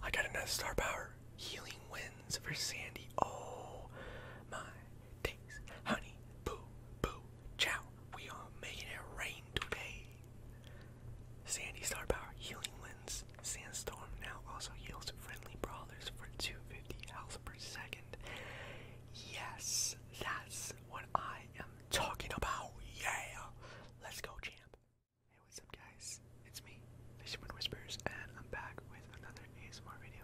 I got another star power. Healing winds for Sandy. Oh my days. Honey, boo, boo, chow. We are making it rain today. Sandy star power. Healing winds. Sandstorm now also heals friendly brawlers for 250 health per second. Yes, that's what I am talking about. Yeah, let's go, champ. Hey, what's up, guys? It's me, Fisherman Whispers, and I'm back with another ASMR video.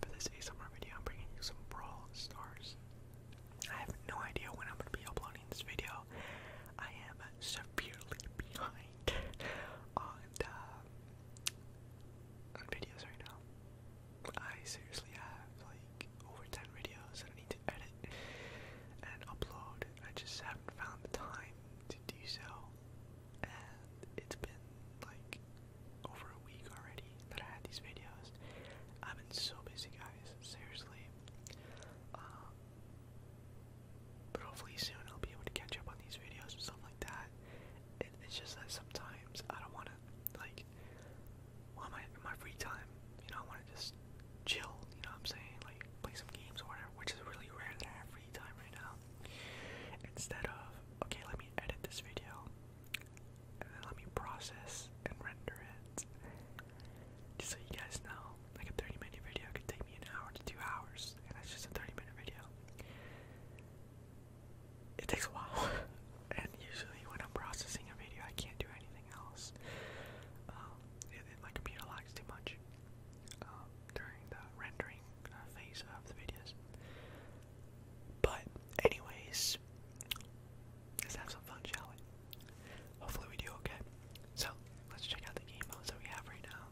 for this ASMR video, I'm bringing you some Brawl Stars. I have no idea when I'm going to be uploading this video. I am severely behind on, uh, on videos right now. I seriously have like over 10 videos that I need to edit and upload. I just haven't found the time to do so. And it's been like over a week already that I had these videos. I've been so busy, guys, seriously. Um, but hopefully soon I'll be able to catch up on these videos and stuff like that. And it's just that sometimes I don't want to wanna like on in my free time, you know, I wanna just chill, you know what I'm saying? Like play some games or whatever, which is really rare that I free time right now. Instead of okay, let me edit this video and then let me process and render it. Just so you guys know, like a 30 minute video could take me an hour to two hours, and that's just a 30 minute video it takes a while. and usually when I'm processing a video, I can't do anything else. my computer lags too much um, during the rendering uh, phase of the videos. But, anyways, let's have some fun, shall we? Hopefully, we do okay. So, let's check out the game modes that we have right now.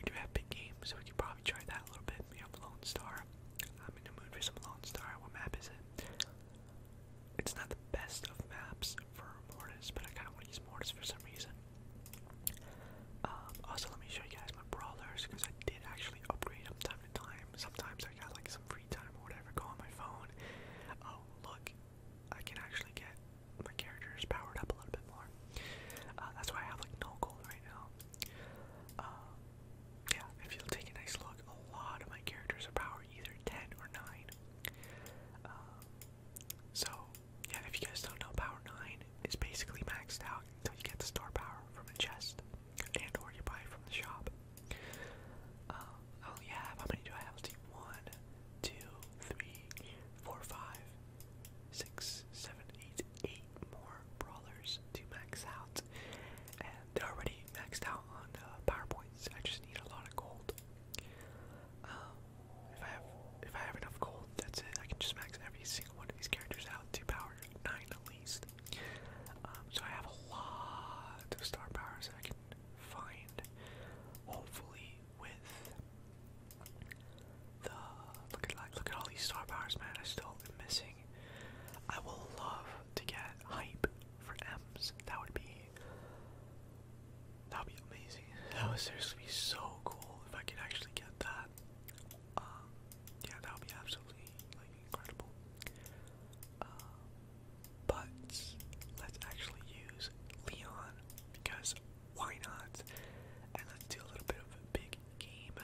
We have big games, we could probably try that a little bit hit me up, Lone Star. I'm in the mood for some Lone Star. What map is it? It's not the best of maps for Mortis, but I kind of want to use Mortis for some reason. Um, also, let me show you guys my brawlers because I did actually upgrade them time to time. Sometimes I got like some free time or whatever. Go on my phone. Oh, look, I can actually get my characters powered up a little bit more. Uh, that's why I have like no gold right now. Um, yeah, if you take a nice look, a lot of my characters are power either 10 or 9. Um, so, yeah, if you guys don't know, power 9 is basically maxed out until you get the star power from the chest and or you buy it from the shop. I only have, how many do I have? let more brawlers to max out, and they're already maxed out on uh, power points. I just need a lot of gold. Um, if I have enough gold, that's it. I can just max every single one of these characters out to power nine at least. Um, so I have a lot of star powers that I can find. Hopefully, with the look at look at all these star powers, man. I still am missing I will love to get hype for M's. That would be that would be amazing. That would seriously be so cool if I could actually get that. Um, yeah, that would be absolutely like incredible. Uh, but let's actually use Leon because why not? And let's do a little bit of a big game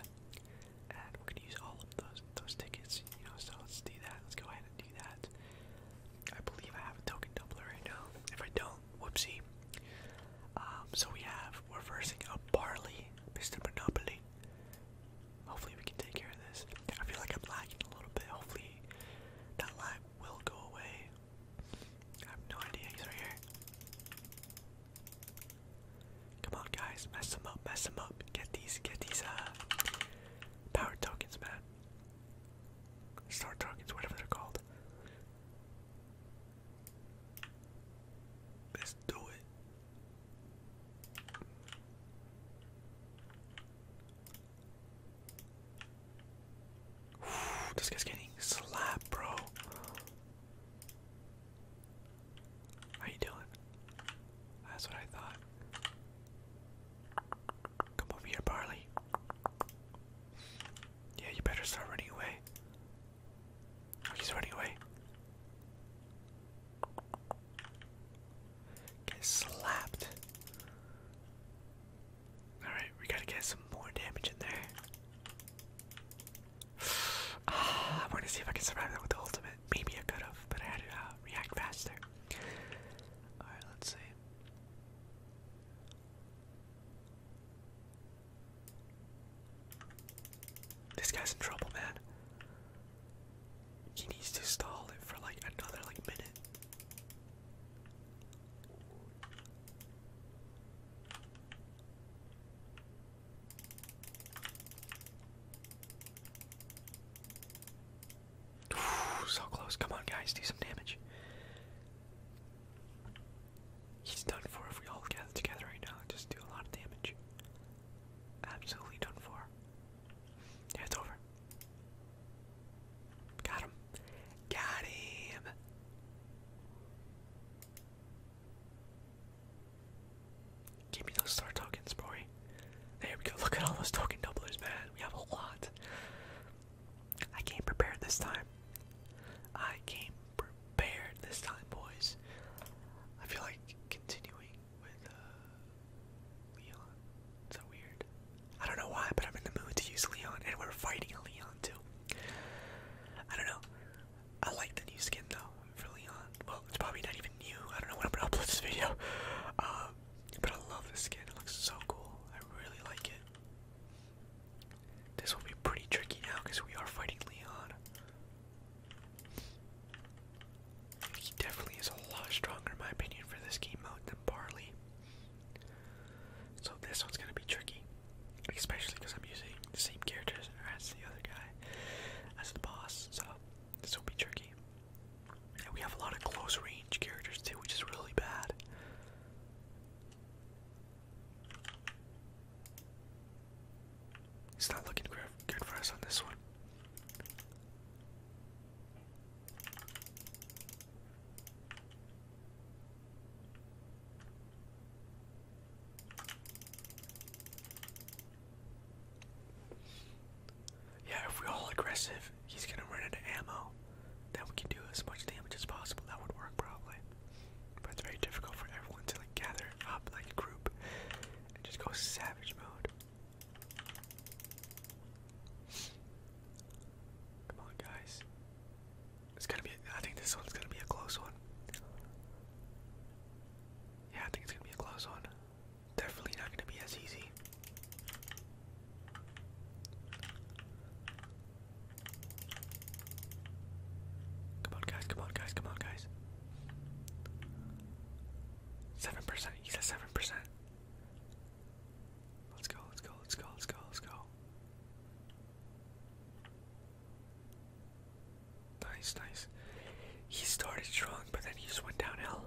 and we're gonna use all of those those tickets, you know. So let's do that. Let's go ahead and do that. I believe I have a token doubler right now. If I don't, whoopsie. Um, so we have we're versing a barley, Mr. Monopoly. Hopefully we can take care of this. I feel like I'm lagging a little bit. Hopefully that lag will go away. I have no idea. He's right here. Come on, guys, mess them up, mess them up. Get these, get these, uh, power tokens, man. Star tokens, whatever they're called. Let's do it. this guy's getting slapped, bro. How you doing? That's what I thought. Come over here, Barley. Yeah, you better start running away. Oh, he's running away. Get slapped. Alright, we gotta get some more damage in there. Ah, I want to see if I can survive that with the ultimate. Maybe I could have, but I had to uh, react faster. Alright, let's see. This guy's in trouble, man. He needs to stall it for like another like minute so close. Come on, guys, do some damage. He's done for if we all gather together right now just do a lot of damage. Absolutely done for. it's over. Got him. Got him. Give me those star tokens, boy. There we go. Look at all those token doublers, man. We have a lot. I came prepared this time. I came prepared this time, boys. I feel like continuing with uh, Leon. so weird. I don't know why, but I'm in the mood to use Leon, and we're fighting a Leon too. I don't know. I like the new skin though. I'm Well, it's probably not even new. I don't know when I'm gonna upload this video. Um, but I love this skin. It looks so cool. I really like it. This will be pretty tricky now because we are fighting Leon. He definitely is a lot stronger, in my opinion, for this game mode than Barley. So this one's gonna be tricky, especially because I'm using the same characters as the other guy as the boss. So this will be tricky. And we have a lot of close range characters too, which is really bad. It's not looking good for us on this one. Yeah, if we're all aggressive, he's gonna run into ammo. Then we can do as much damage as possible. That would work probably. But it's very difficult for everyone to like gather up like a group and just go savage mode. Come on, guys. It's gonna be. I think this one's gonna be a close one. Yeah, I think it's gonna be a close one definitely not going to be as easy. Come on, guys, come on, guys, come on, guys. 7%, he's at 7%. Let's go, let's go, let's go, let's go, let's go. Nice, nice. He started strong, but then he just went downhill.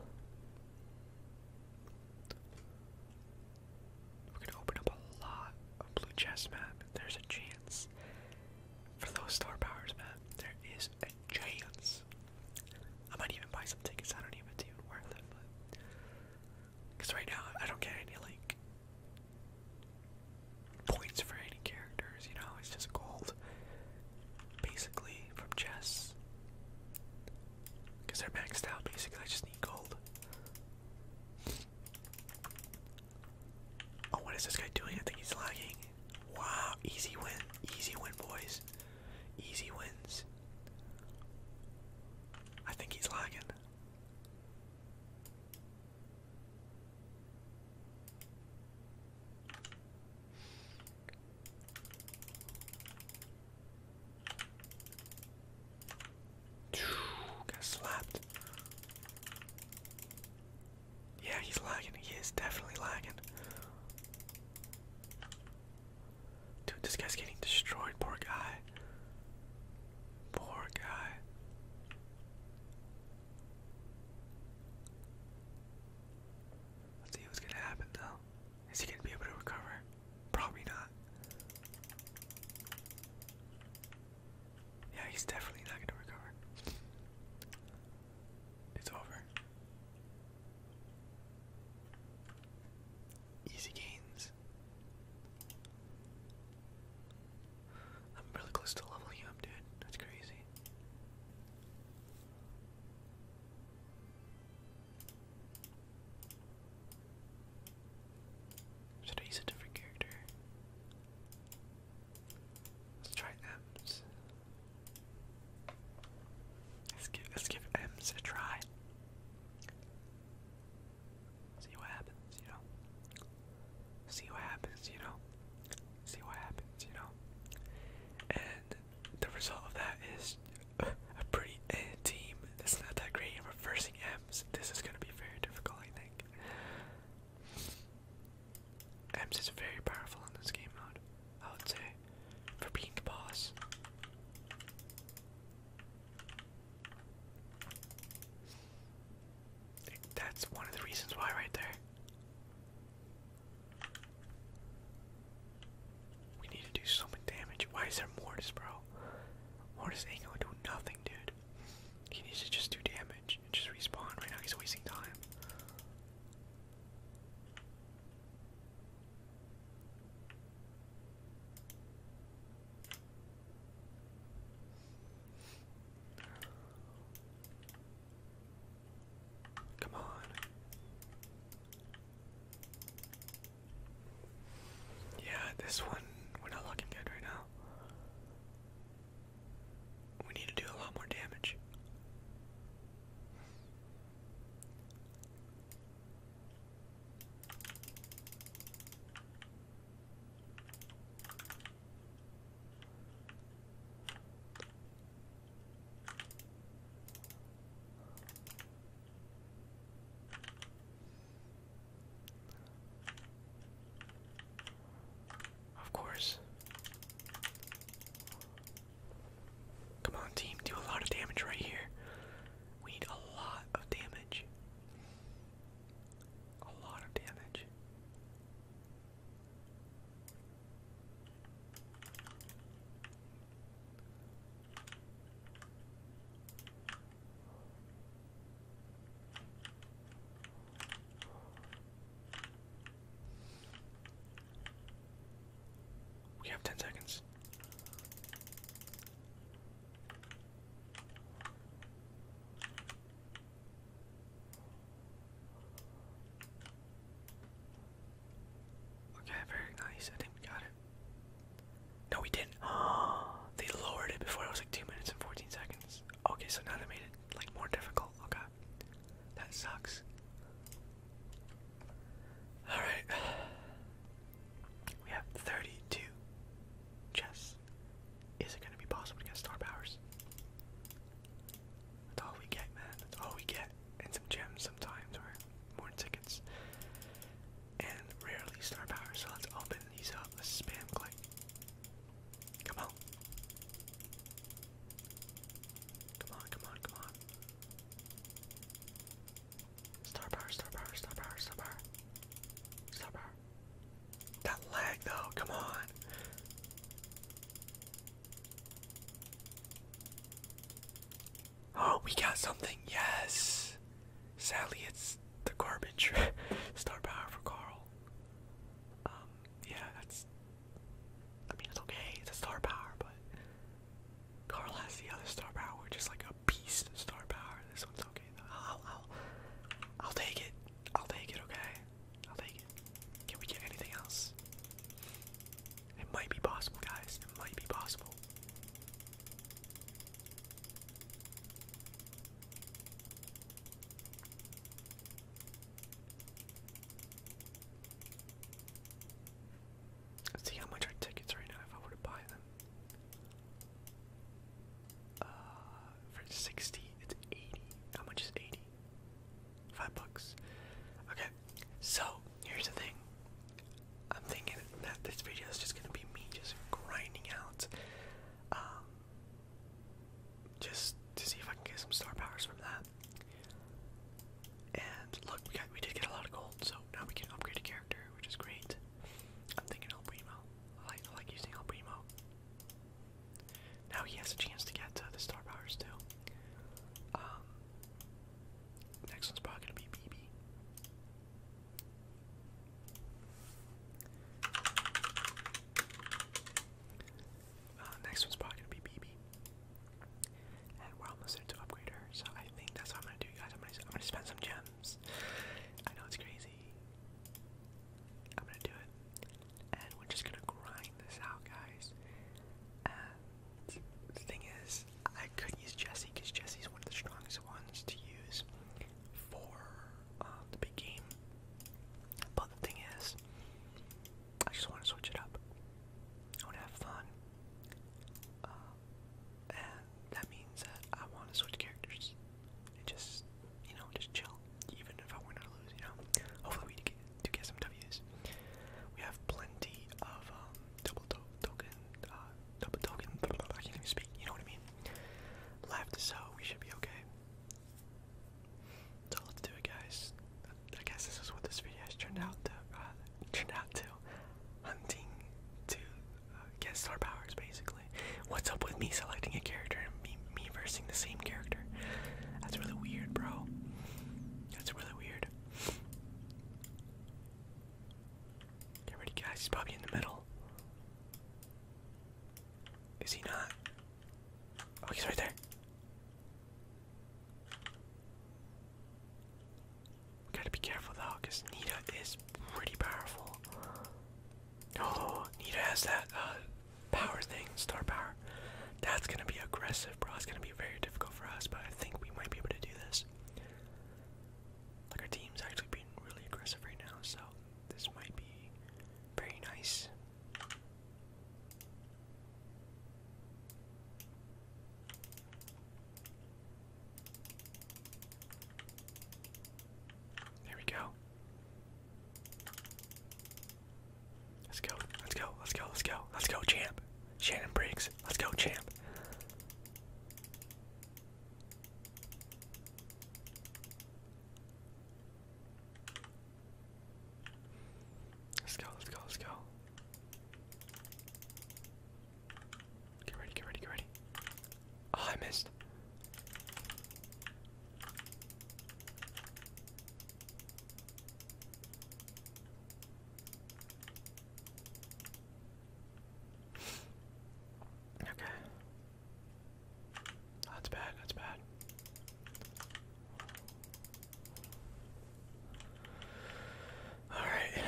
We're gonna open up a lot of blue chest, man. There's a chance for those star powers, man. There is a chance. I might even buy some tickets. I don't even think it's worth it, but because right now I don't get any like points for any characters. You know, it's just gold. Basically, from chests. Because they're maxed out basically, I just need gold. Oh, what is this guy doing? I think he's lagging. Wow, easy win. Easy win, boys. Easy wins. I think he's lagging. Got slapped. Yeah, he's lagging. He is definitely lagging. Dude, this guy's getting destroyed. Poor guy. Poor guy. Let's see what's gonna happen though. Is he gonna be able to recover? Probably not. Yeah, he's definitely not gonna recover. It's over. Easy gains. I'm really close to leveling up, dude. That's crazy. Should I use a different character? Let's try M's. Let's give let's give M's a try. See what happens, you know. See what happens, you know. See what happens, you know. And the result of that is a pretty eh, team that's not that great in reversing M's. This is going to be very difficult, I think. M's is very powerful in this game mode, I would say, for being the boss. That's one of the reasons why, right there. We need to do so much damage. Why is there Mortis, bro? Mortis ain't gonna do nothing, dude. He needs to just do damage and just respawn. Right now he's wasting time. Come on. Yeah, this one, we're not looking good right now. We need to do a lot more damage. Of course. Come on, team, do a lot of damage right here. We need a lot of damage. A lot of damage. We have ten seconds. Okay, very nice. I think we got it. No, we didn't. they lowered it before it was like 2 minutes and 14 seconds. Okay, so now they made it like more difficult. Okay. That sucks. Alright. We have 32 chests. Is it gonna be possible to get star powers? That's all we get, man. That's all we get. And some gems sometimes, or more tickets, and rarely star power. So let's open these up. let spam click. Come on. Come on, come on, come on. Star power, star power, star power, star power. Star power. That lag though, come on. Oh, we got something. Yes. Sally, it's the garbage. Star power for Carl. Um, yeah, that's. I mean, it's okay. It's a star power, but Carl has the other star power, which is like a beast star power. This one's okay. Though. I'll, I'll, I'll take it. I'll take it. Okay. I'll take it. Can we get anything else? It might be possible, guys. It might be possible. see how much our tickets right now if I were to buy them. Uh, for 60, it's 80. How much is 80? Five bucks. Okay, so here's the thing. I'm thinking that this video is just gonna be me just grinding out, um, just to see if I can get some star powers from that. And look, we did get a lot of gold, so now we can upgrade a character, which is great. I'm thinking El I like, using El Now he has a chance to get uh, the star powers too. Um, Next one's probably gonna be BB. Uh, next one's probably gonna be BB. And we're almost there to upgrade her, so I think that's what I'm gonna do, guys. I'm gonna, spend some gems. I know it's crazy. I'm gonna do it. And we're just gonna grind this out, guys the thing is, I could use Jesse because Jesse's one of the strongest ones to use for um, the big game. But the thing is, I just want to switch it up. I want to have fun. Uh, and that means that I want to switch characters and just, you know, just chill, even if I were not to lose, you know. Hopefully we do get, to get some W's. We have plenty of um, double token, uh, double token, I can't even speak, you know what I mean? Left, so we should be okay. So let's do it, guys. I guess this is what this video has turned out to, uh, turned out to. Hunting to uh, get star powers, basically. What's up with me selecting a character and me, me versing the same character? That's really weird, bro. That's really weird. Get ready, guys. He's probably in the middle. Is he not? Oh, he's right there. We gotta be careful though, because Nita is pretty powerful. Oh, Nita has that uh, power thing, star power. That's gonna be aggressive. It's gonna be very difficult for us, but I think we might be able to do this. Like our team's actually being really aggressive right now, so this might be very nice. There we go. Let's go, let's go, let's go, let's go, let's go, champ. Shannon Briggs. Let's go, champ. Let's go, let's go, let's go. Get ready, get ready, get ready. Oh, I missed. Okay. That's bad, that's bad. All right.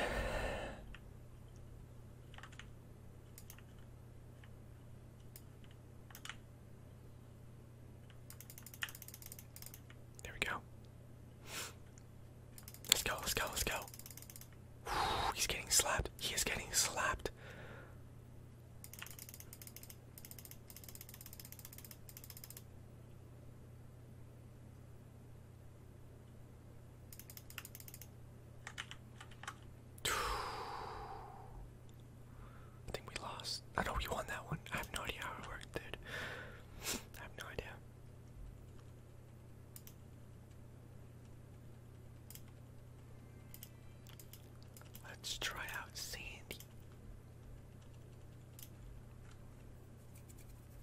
There we go. Let's go, let's go, let's go. he's getting slapped. He is getting slapped. I think we lost. I know we won that one. I have no idea how it worked, dude. I have no idea. Let's try out Sandy.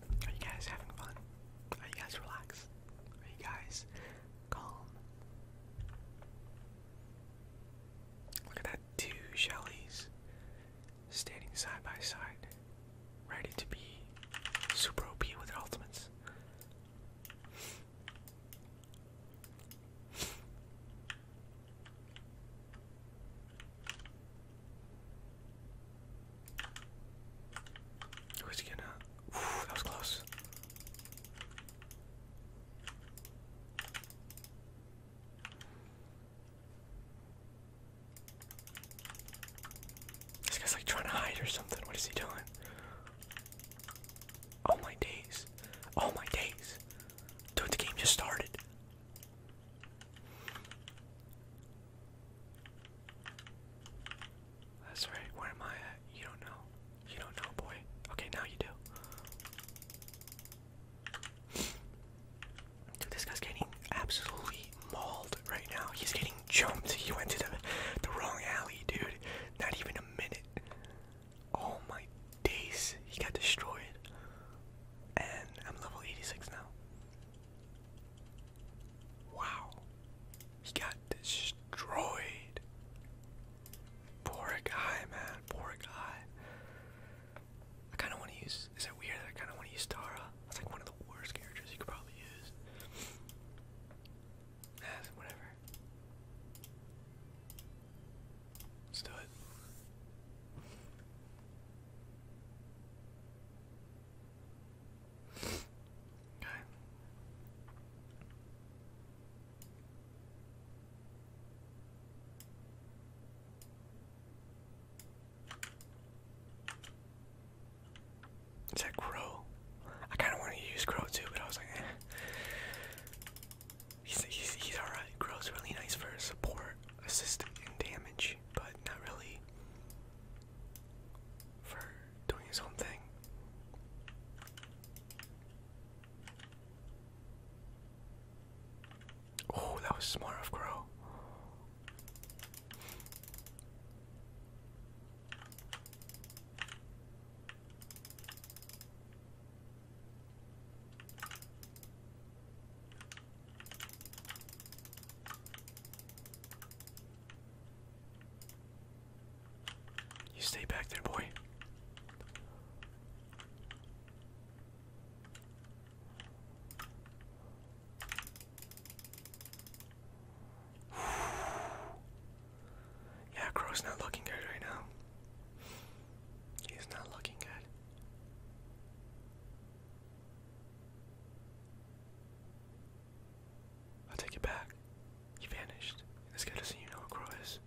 Are you guys having fun? Are you guys relaxed? Are you guys calm? Look at that, two Shellys standing side by side ready to be super OP with their ultimates. Who's he going that was close. This guy's like trying to hide or something. What is he doing? Oh my days. Oh my days. Dude, the game just started. That's right. Where am I You don't know. You don't know, boy. Okay, now you do this guy's getting absolutely mauled right now. He's getting jumped. He went to the the wrong alley, dude. Not even a minute. Oh my days. He got destroyed. And I'm level 86 now. Wow. He got destroyed. Poor guy, man. Poor guy. I kind of want to use. Is it weird I kind of want to use Tara? That's like one of the worst characters you could probably use. Ah, whatever. Let's do it. Okay. Is that Crow? I kind of wanted to use Crow too, but I was like, eh. he's alright. Crow's really nice for support, assist, and damage, but not really for doing his own thing. Oh, that was smart of Crow. You stay back there, boy. Yeah, Crow's not looking good right now. He's not looking good. I'll take it back. He vanished. This guy doesn't even know what Crow is.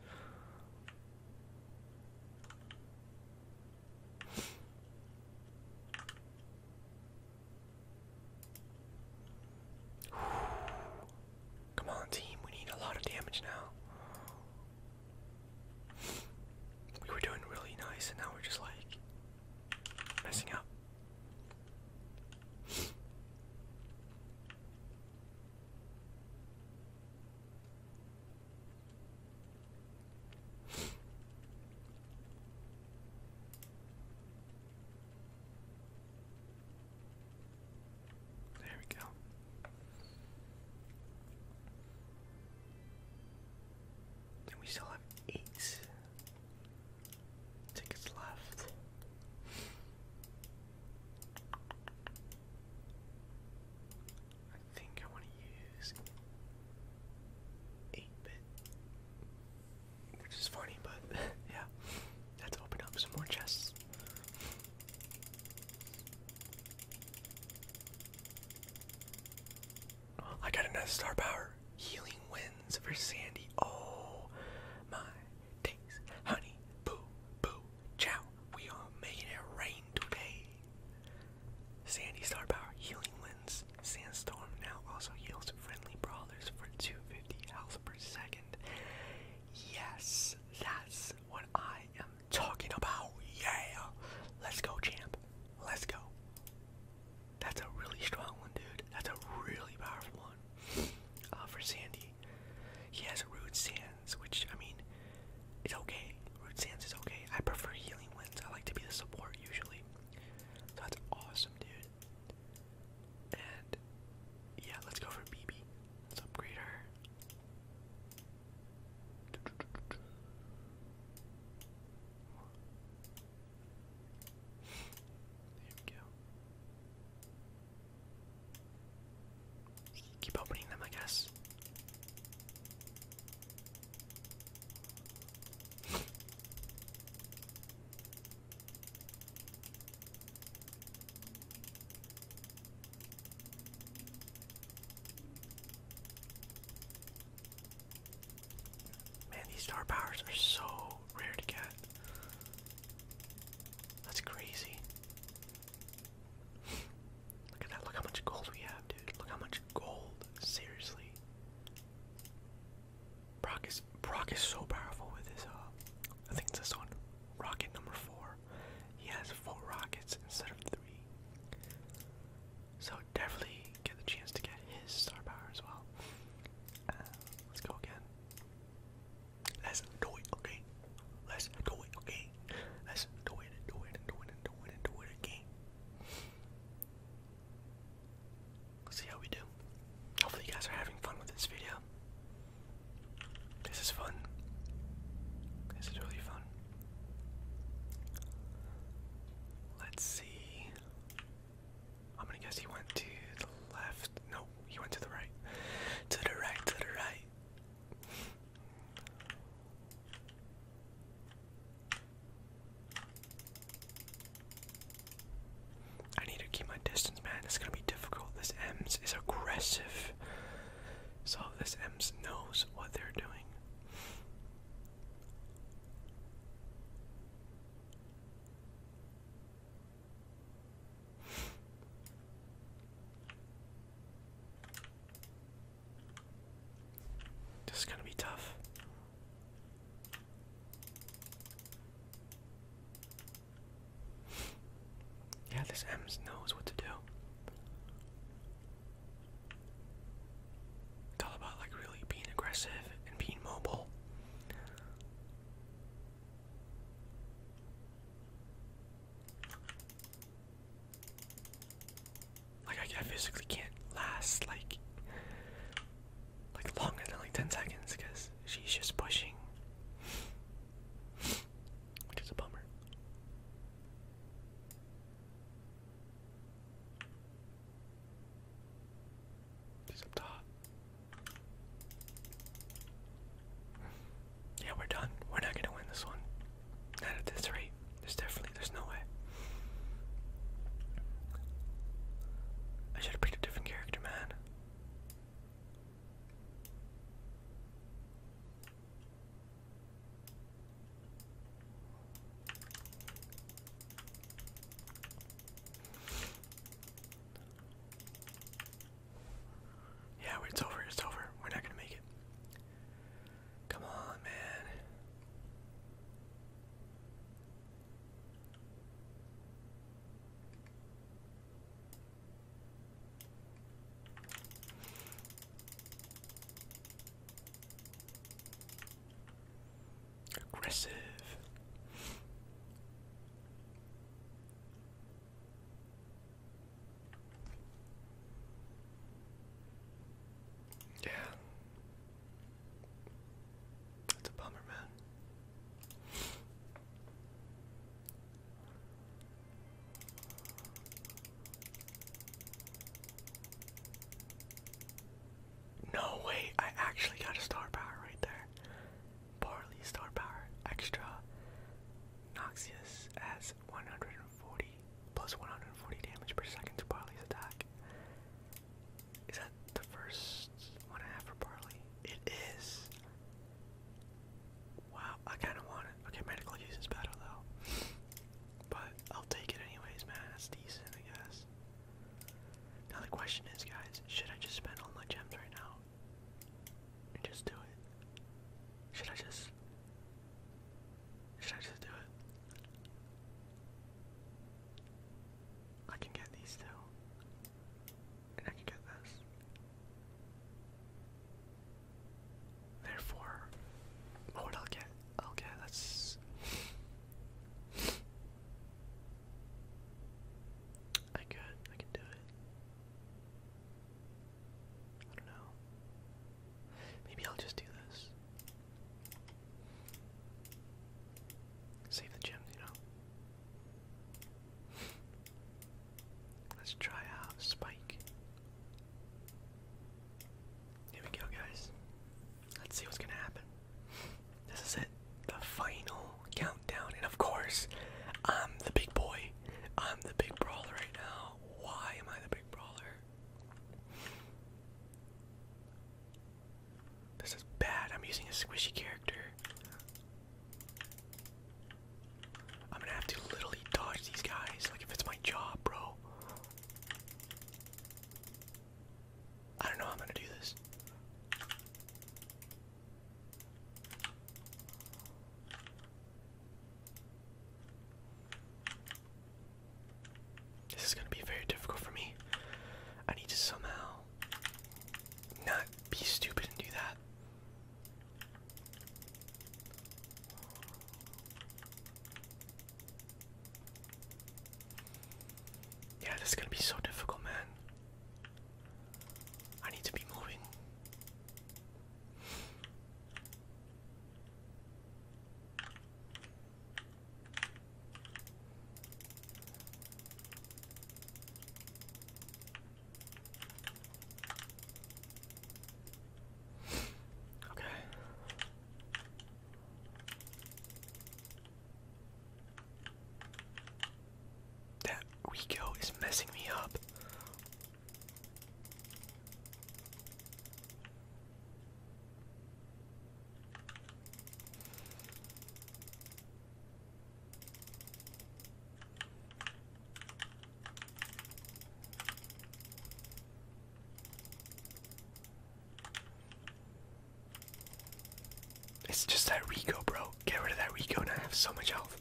Come on, team. We need a lot of damage now. We were doing really nice, and now we're just like messing up. There we go. And we still have eight tickets left. I think I want to use 8 bit. Which is funny, but yeah. Let's open up some more chests. Oh, I got another star power. Healing winds for Sandy. Oh my days. Honey, boo, boo, chow. We are making it rain today. Sandy star power. Healing Sandstorm now also yields friendly brawlers for 250 health per second. Yes, that's what I am talking about. Yeah! Let's go, champ. Let's go. That's a really strong one, dude. That's a really powerful one. Uh, for Sandy, he has Rude Sands, which, I mean, it's okay. Root Sands is okay. I prefer healing winds. I like to be the support usually that's awesome, dude. And yeah, let's go for BB. Let's upgrade her. There we go. Keep opening them, I guess. Man, these star powers are so rare to get. That's crazy. Look at that. Look how much gold we have, dude. Look how much gold. Seriously. Brock is Brock is so powerful with his uh I think it's this one. Rocket number four. He has four rockets instead of three. So definitely get the chance to get his star power as well. Uh, let's go again. Let's do it, okay? Let's do it, okay? Let's do it and do it and do it and do it and do it again see how we do. Hopefully, you guys are having fun with this video. This is fun. This is really fun. Let's see. I'm going he went to the left. No, he went to the right. To the right, to the right. I need to keep my distance, man. It's gonna be difficult. This M's is aggressive. So this M's knows what they're doing. This is gonna be tough. Yeah, this Ems knows what to do. It's all about like really being aggressive and being mobile. Like I physically can't last like like longer than like 10 seconds because she's just pushing, which is a bummer. She's up top. Yeah, we're done. We're not gonna win this one. Not at this rate. There's definitely there's no way. I should have picked a different character, man. Yeah, it's over, it's over. We're not gonna make it. Come on, man. Aggressive. Yeah. That's a bummer, man. No way, I actually got a star power right there. Barley star power extra. Noxious as 140 plus 140 damage per second to Barley's attack. Is that the first one I have for barley? It is. Wow, I kind of want it. Okay, medical use better though. But I'll take it anyways, man. That's decent, I guess. Now the question is, guys, should I just spend all my gems right now and just do it? Should I just? Should I just do it? I can get these too, And I can get this. Therefore, what I'll get, I'll get, that's... I could, I could do it. I don't know. Maybe I'll just do this. Save the gems, you know. Let's try out Spike. Here we go, guys. Let's see what's gonna happen. This is it. The final countdown. And of course, I'm the big boy. I'm the big brawler right now. Why am I the big brawler? This is bad. I'm using a squishy character. I'm gonna have to literally dodge these guys, like if it's my job, bro. I don't know how I'm gonna do this. This is gonna be very difficult for me. I need to somehow not be stupid and do that. Yeah, this is gonna be so difficult, man. I need to be moving. Okay. That Rico is messing me up. It's just that Rico, bro. Get rid of that Rico and I have so much health.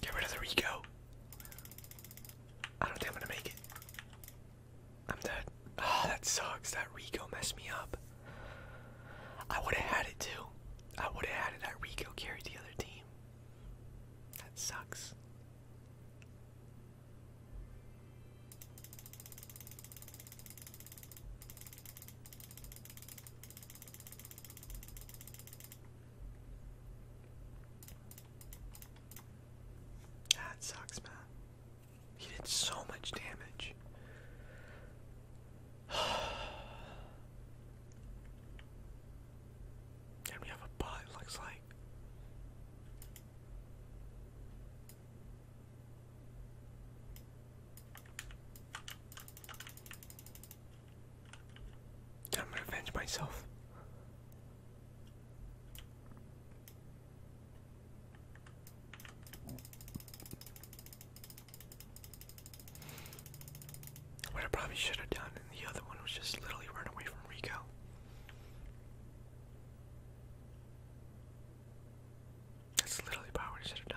Get rid of the Rico. I don't think I'm gonna make it. I'm dead. Oh, that sucks. That Rico messed me up. I would have had it too. I would have had it. That Rico carried the other team. That sucks. That sucks, man. He did so much damage. and we have a bot, looks like. I'm gonna avenge myself. What I probably should have done in the other one was just literally run away from Rico. That's literally about what should have done.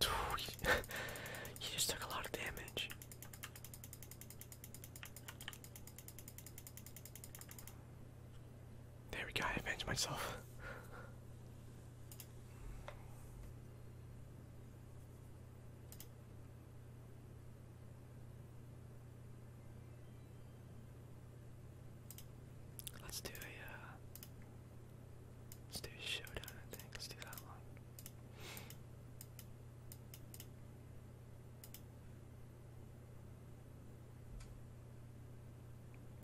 he just took a lot of damage. There we go, I avenged myself. Let's do a uh, Let's do showdown, I think. Let's do that one.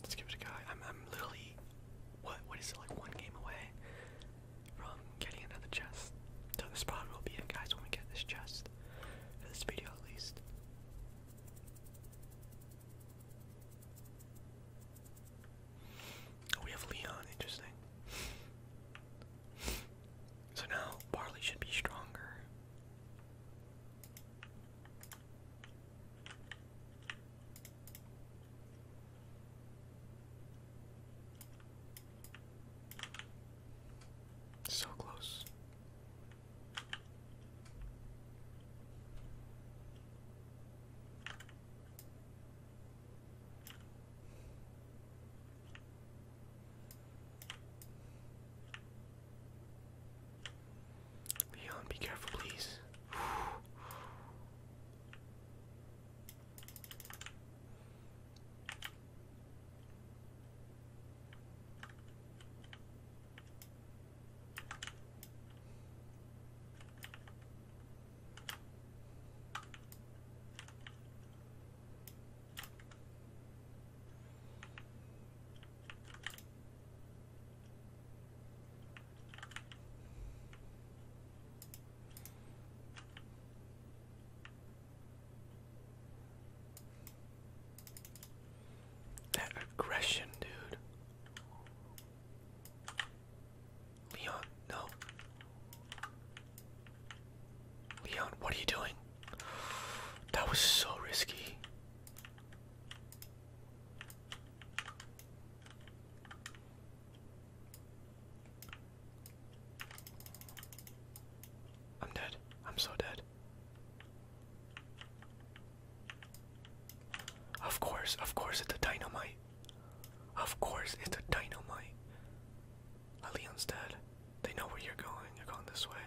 Let's give it a go. I'm, I'm literally, what, what is it, like one game away from getting another chest. So this probably will be it, guys, when we get this chest, for this video at least. Oh, we have Leon, interesting. So now Barley should be stronger. So close. Leon, be careful, please. That aggression, dude. Leon, no. Leon, what are you doing? That was so risky. I'm dead. I'm so dead. Of course, of course, it's a dynamite. Of course, it's a dynamite. Leon's dead. They know where you're going. You're going this way.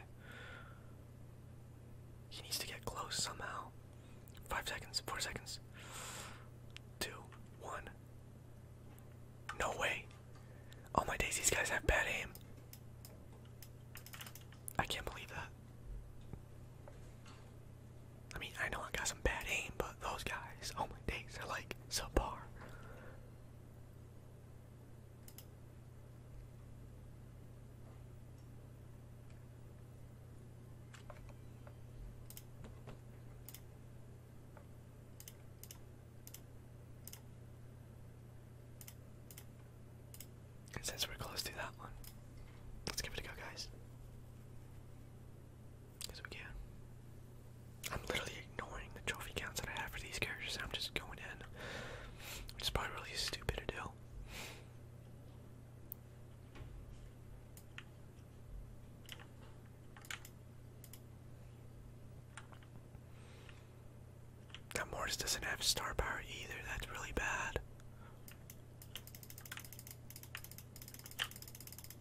He needs to get close somehow. Five seconds, four seconds. Two, one. No way. All oh my days, these guys have bad aim. I can't believe that. I mean, I know I got some bad aim, but those guys, oh my days, are like subpar. And since we're close to that one, let's give it a go, guys. Because we can. I'm literally ignoring the trophy counts that I have for these characters. I'm just going in. Which is probably really stupid to do. That Mortis doesn't have star power either. That's really bad.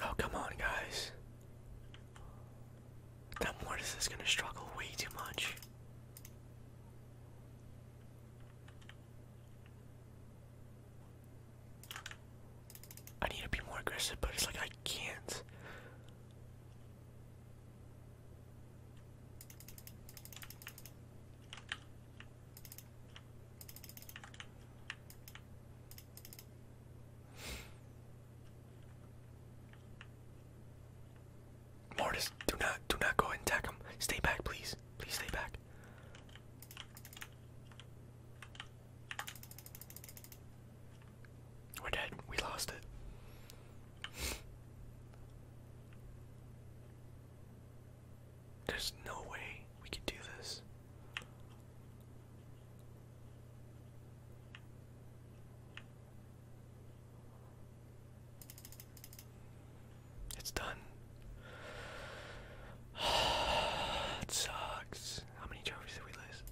Oh, come on, guys. That Mortis going to struggle way too much. I need to be more aggressive, but it's like I can't. Mortis, do not, do not go and attack him. Stay back, please. Please stay back. We're dead. We lost it. There's no way we can do this. It's done. it sucks. How many trophies did we lose?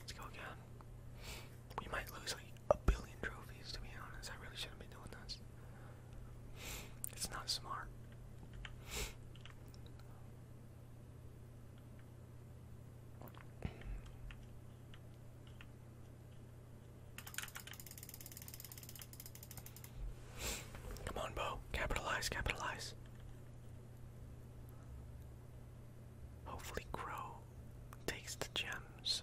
Let's go again. We might lose like a billion trophies, to be honest. I really shouldn't be doing this. It's not smart. Come on, Bo. Capitalize, capitalize. Hopefully, Crow takes the gems.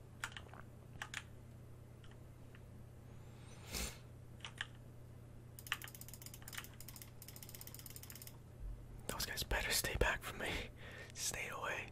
Those guys better stay back from me. Stay away.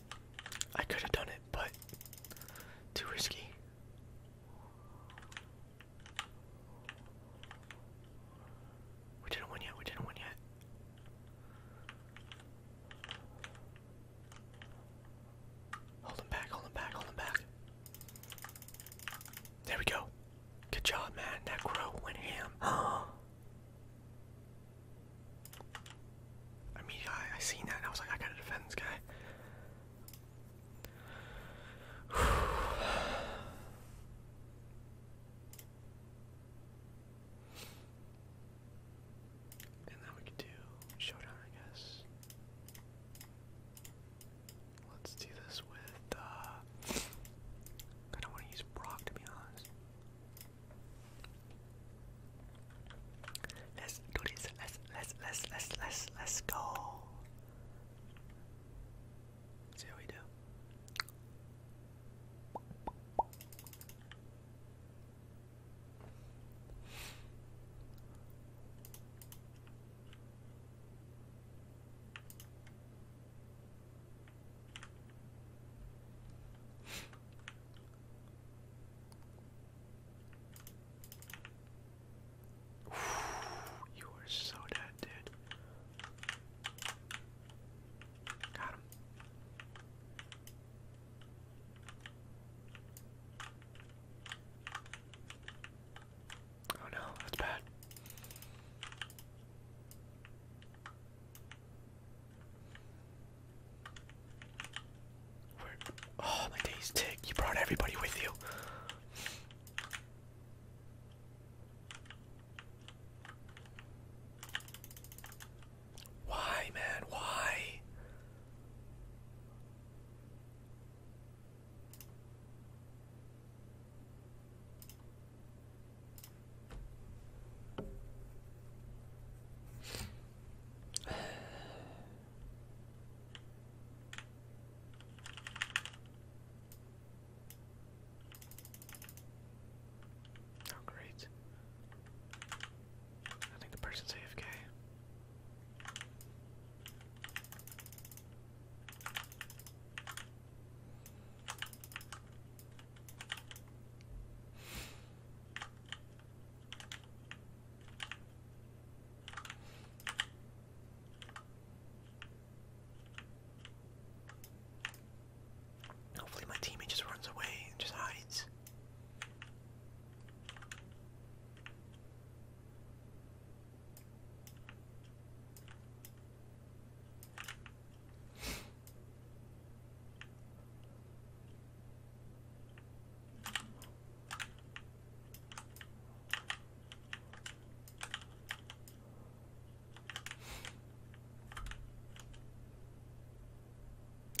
I could have done it, but too risky. We didn't win yet, we didn't win yet. Hold him back, hold him back, hold him back. There we go. Good job, man. That crow went ham. I mean, I, I seen that and I was like, I gotta defend this guy. and now we could do showdown, I guess. Let's do this with, uh, I want to use Brock to be honest. Let's do this. Let's let's let's let's let's let's go. see how we do. You are so dead, dude. Got him. Oh no, that's bad. Oh my days, Tick! You brought everybody with you. Why, man? Why? Oh, great. I think the person's AFK. Hopefully my teammate just runs away and just hides.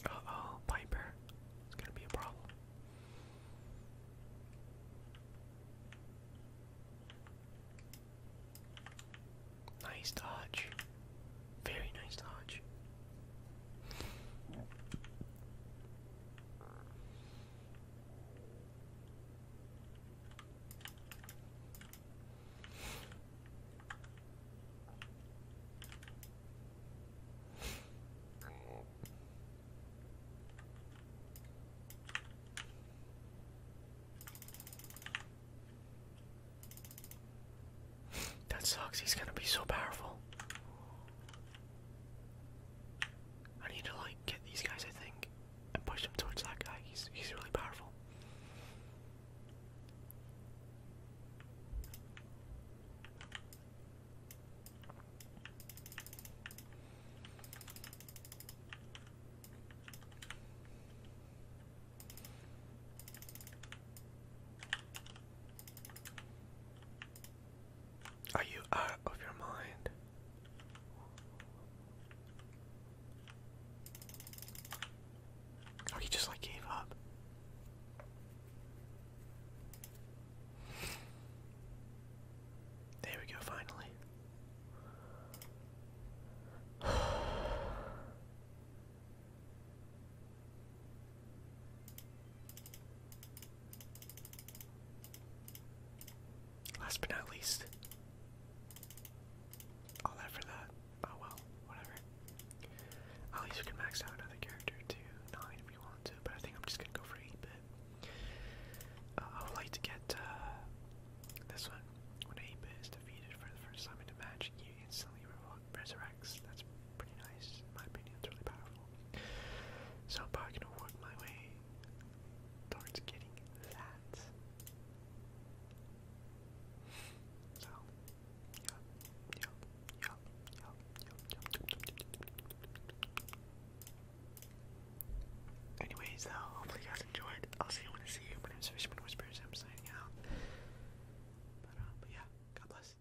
Uh oh, Piper. It's gonna be a problem. Nice dodge. Very nice dodge. That sucks. He's going to be so powerful. I need to like get these guys, I think, and push them towards that guy. He's he's really powerful. Are you out of your mind? Oh, he just like gave up. There we go, finally. Last but not least, all that for that. Oh well, whatever. At least we can max out another character to nine if we want to, but I think I'm just gonna go for eight bit. Uh, I would like to get uh, this one. When eight bit is defeated for the first time in a match, you instantly re resurrect. That's pretty nice, in my opinion. It's really powerful. So I'm probably gonna work my way towards getting that. So, yup, yup, yup, yup, yup, yup. Anyways, though, hopefully you guys enjoyed. I'll see you when I see you. My name is Fishman Whispers. I'm signing out. But, uh, but yeah, God bless.